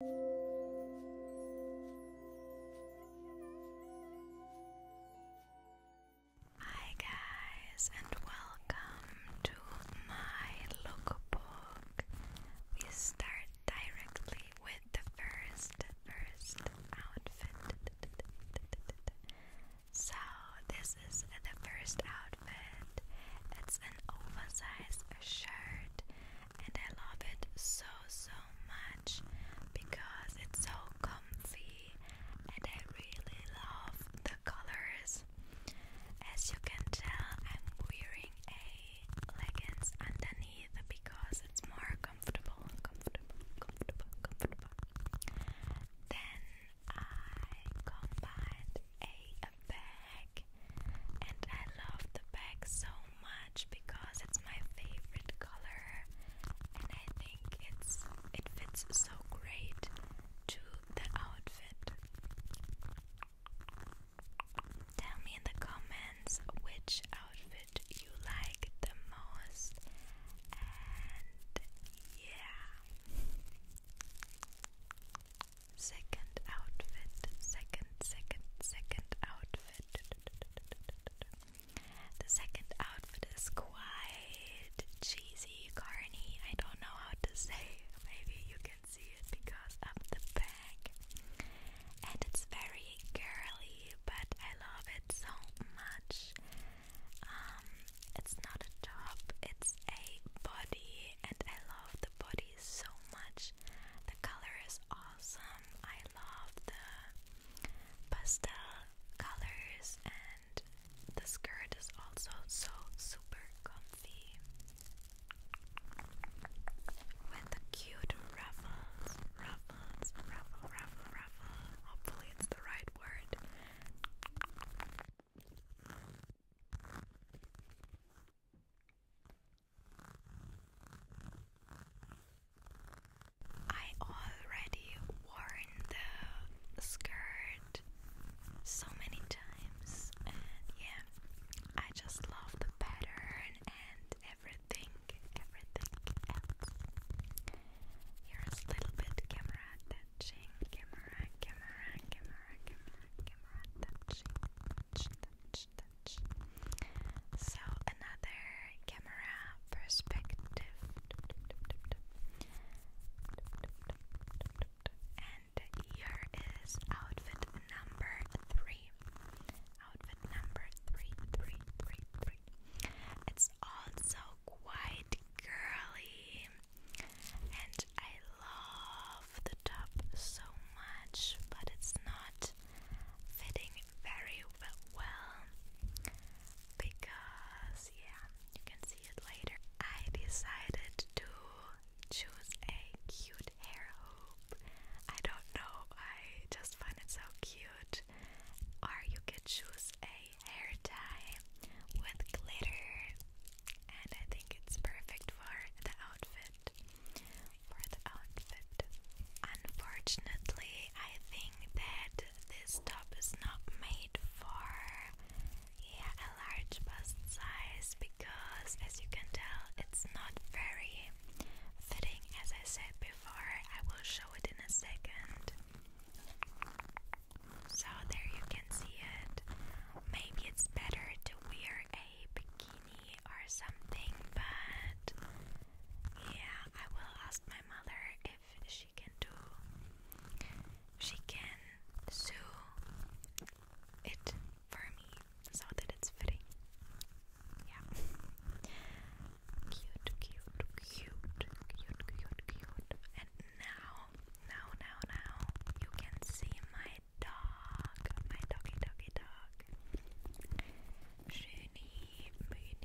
Hi guys and welcome to my lookbook. We start directly with the first first outfit. So this is the first outfit. It's an oversized shirt and I love it so so much because it's so comfy and I really love the colors. As you can tell, I'm wearing a leggings underneath because it's more comfortable, comfortable, comfortable, comfortable. Then I combined a bag, and I love the bag so much because it's my favorite color, and I think it's it fits so great to the outfit. Tell me in the comments which outfit you like the most, and yeah. Second outfit, second, second, second outfit. The second outfit is quite cheesy, corny. I don't know how to say. Maybe you can see it because of the back, And it's very girly, but I love it so much. Um, it's not a top, it's a body, and I love the body so much. The color is awesome. I love the pastel colors and the skirt is also so super comfy with the cute ruffles, Hopefully, it's the right word. I already worn the skirt so many times, yeah, I just love the pattern and everything, everything else. Here's a little bit camera touching, camera, camera, camera, camera, camera touching, touch, touch. So another camera perspective, and here is outfit number three. Outfit number three, three, three, three. It's also quite girly, and I love the top so much, but it's not fitting very well because, yeah, you can see it later. I decided to choose a cute hair hoop. I don't know, I just find it so cute. Or you could choose a hair tie with glitter and I think it's perfect for the outfit. For the outfit. Unfortunately, I think that this top is not made for a large bust size because, as you can tell, it's not very fitting. As I said before, I will show it in a second. So there you can see it. Maybe it's better to wear a bikini or something, but yeah, I will ask my mother if she can do, she can sew it for me so that it's fitting. Yeah. cute, cute, cute, cute, cute, cute. And now, now, now, now, you can see my dog, mein doggy doggy dog. Schöni, Mooney,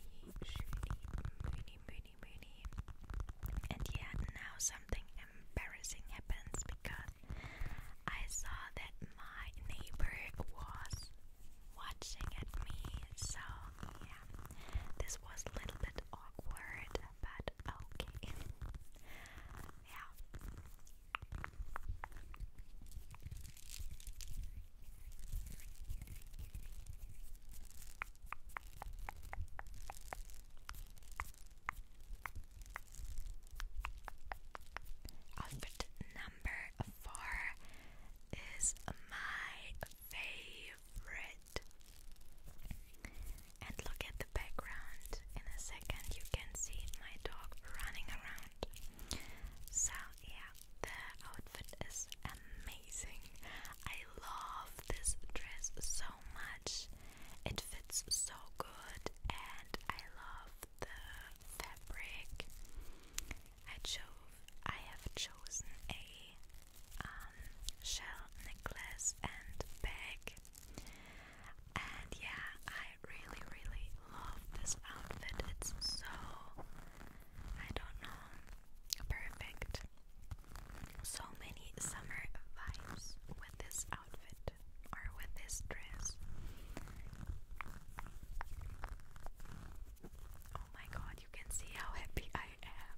Schöni, Mooney, Mooney, Mooney. And yet now something embarrassing happens because I saw that my neighbor was watching at me. So yeah, this was a little bit awkward, but okay. Yeah. Outfit number four is my favorite and look at the background. In a second, you can see my dog running around. So, yeah, the outfit is amazing. I love this dress so much. It fits so good, and I love the fabric. I chose. I have chosen a um, shell necklace and bag and yeah, I really, really love this outfit. It's so, I don't know, perfect. So many summer vibes with this outfit or with this dress. Oh my god, you can see how happy I am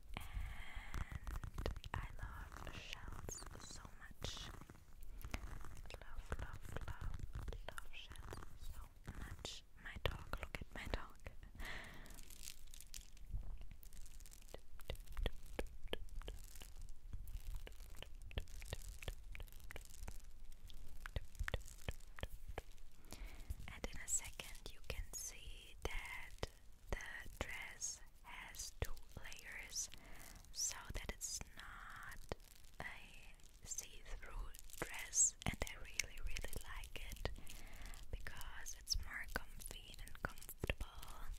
and I love shells so much. Love, love, love, love shells so much. My dog, look at my dog. And in a second, you can see that the dress has two layers so that it's not a see-through dress and I really really like it because it's more comfy and comfortable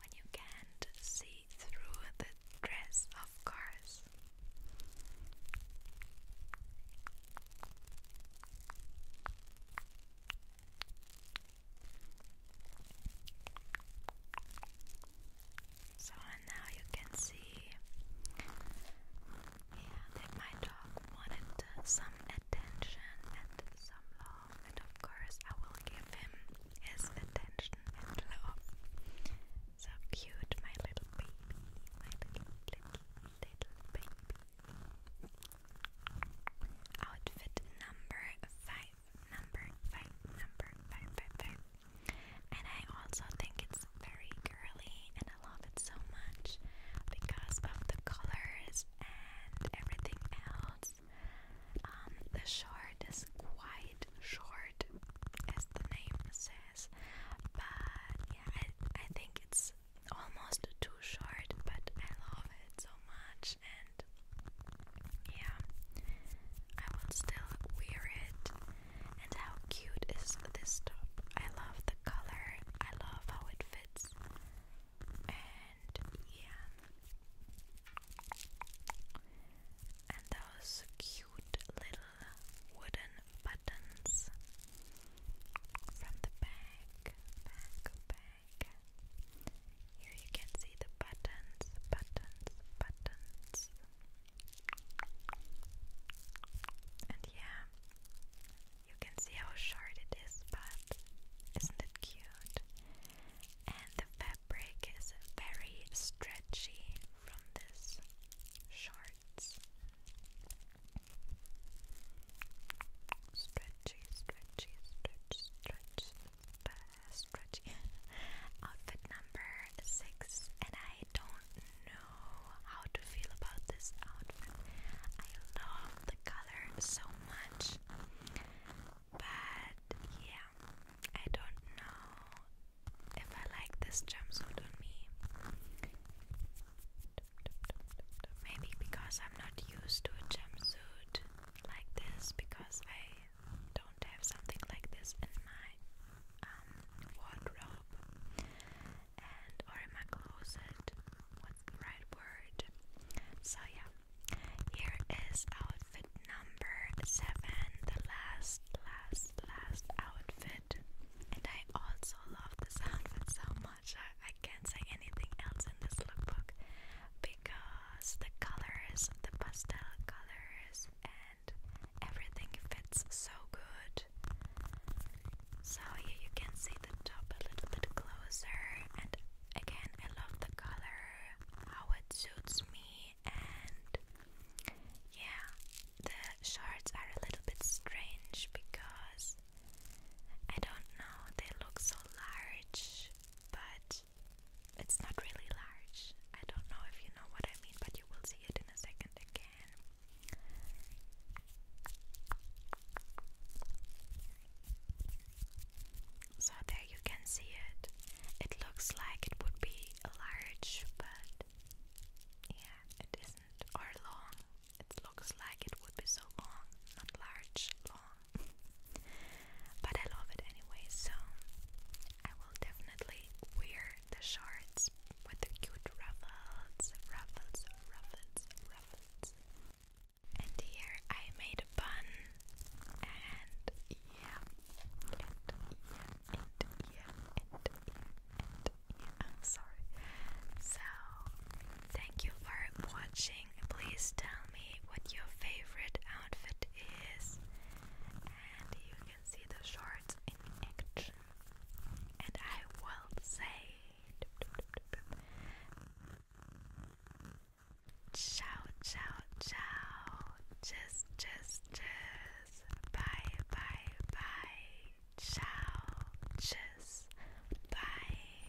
when you can't see through the dress of course. So, now you can see, yeah, my dog wanted some attention and some love, and of course, I will give him his attention and love. So cute, my little baby, my little, little baby. Outfit number five, number five, number five, five, five. And I also think it's very girly, and I love it so much because of the colors and everything else. Um, the short is quite short, as the name says, but yeah, I, think it's almost too short, but I love it so much, and yeah, I will still wear it. And how cute is this top? I love the color, I love how it fits, and yeah, and those cute little wooden buttons from the back, back, back. Here you can see the buttons, buttons, buttons. And yeah, you can see how short it is, but isn't it cute? And the fabric is very stretchy from this shorts. Stretchy, stretchy, stretch, stretch, stretchy. Outfit number six, and I don't know how to feel about this outfit. I love the color so much, but yeah, I don't know if I like this jumpsuit on me. Maybe because I'm not used to a jumpsuit like this, because I don't have something like this in my um, wardrobe and or in my closet. What's the right word? So yeah, here is outfit number seven, the last, last, last outfit, and I also love this outfit so much. I can't say anything else in this lookbook because the colors, the pastel colors, and everything fits so good. So here you can see the top a little bit closer, and again, I love the color, how it suits me, and yeah, the shorts are a little bit strange because I don't know, they look so large, but it's not really large. I don't know if you know what I mean, but you will see it in a second again. So there you can see it. It looks like it would be large, but yeah, it isn't are long. It looks like it would be so long, not large, long. but I love it anyway, so I will definitely wear the shorts with cute ruffles, ruffles, ruffles, ruffles. And here I made a bun, and yeah, and yeah, and yeah, and yeah, I'm sorry. So, thank you for watching. Please tell me what your favorite outfit is. And you can see the shorts in action. And I will say ciao, ciao, ciao. Just, just, just. Bye, bye, bye. Ciao. Tschüss. Bye.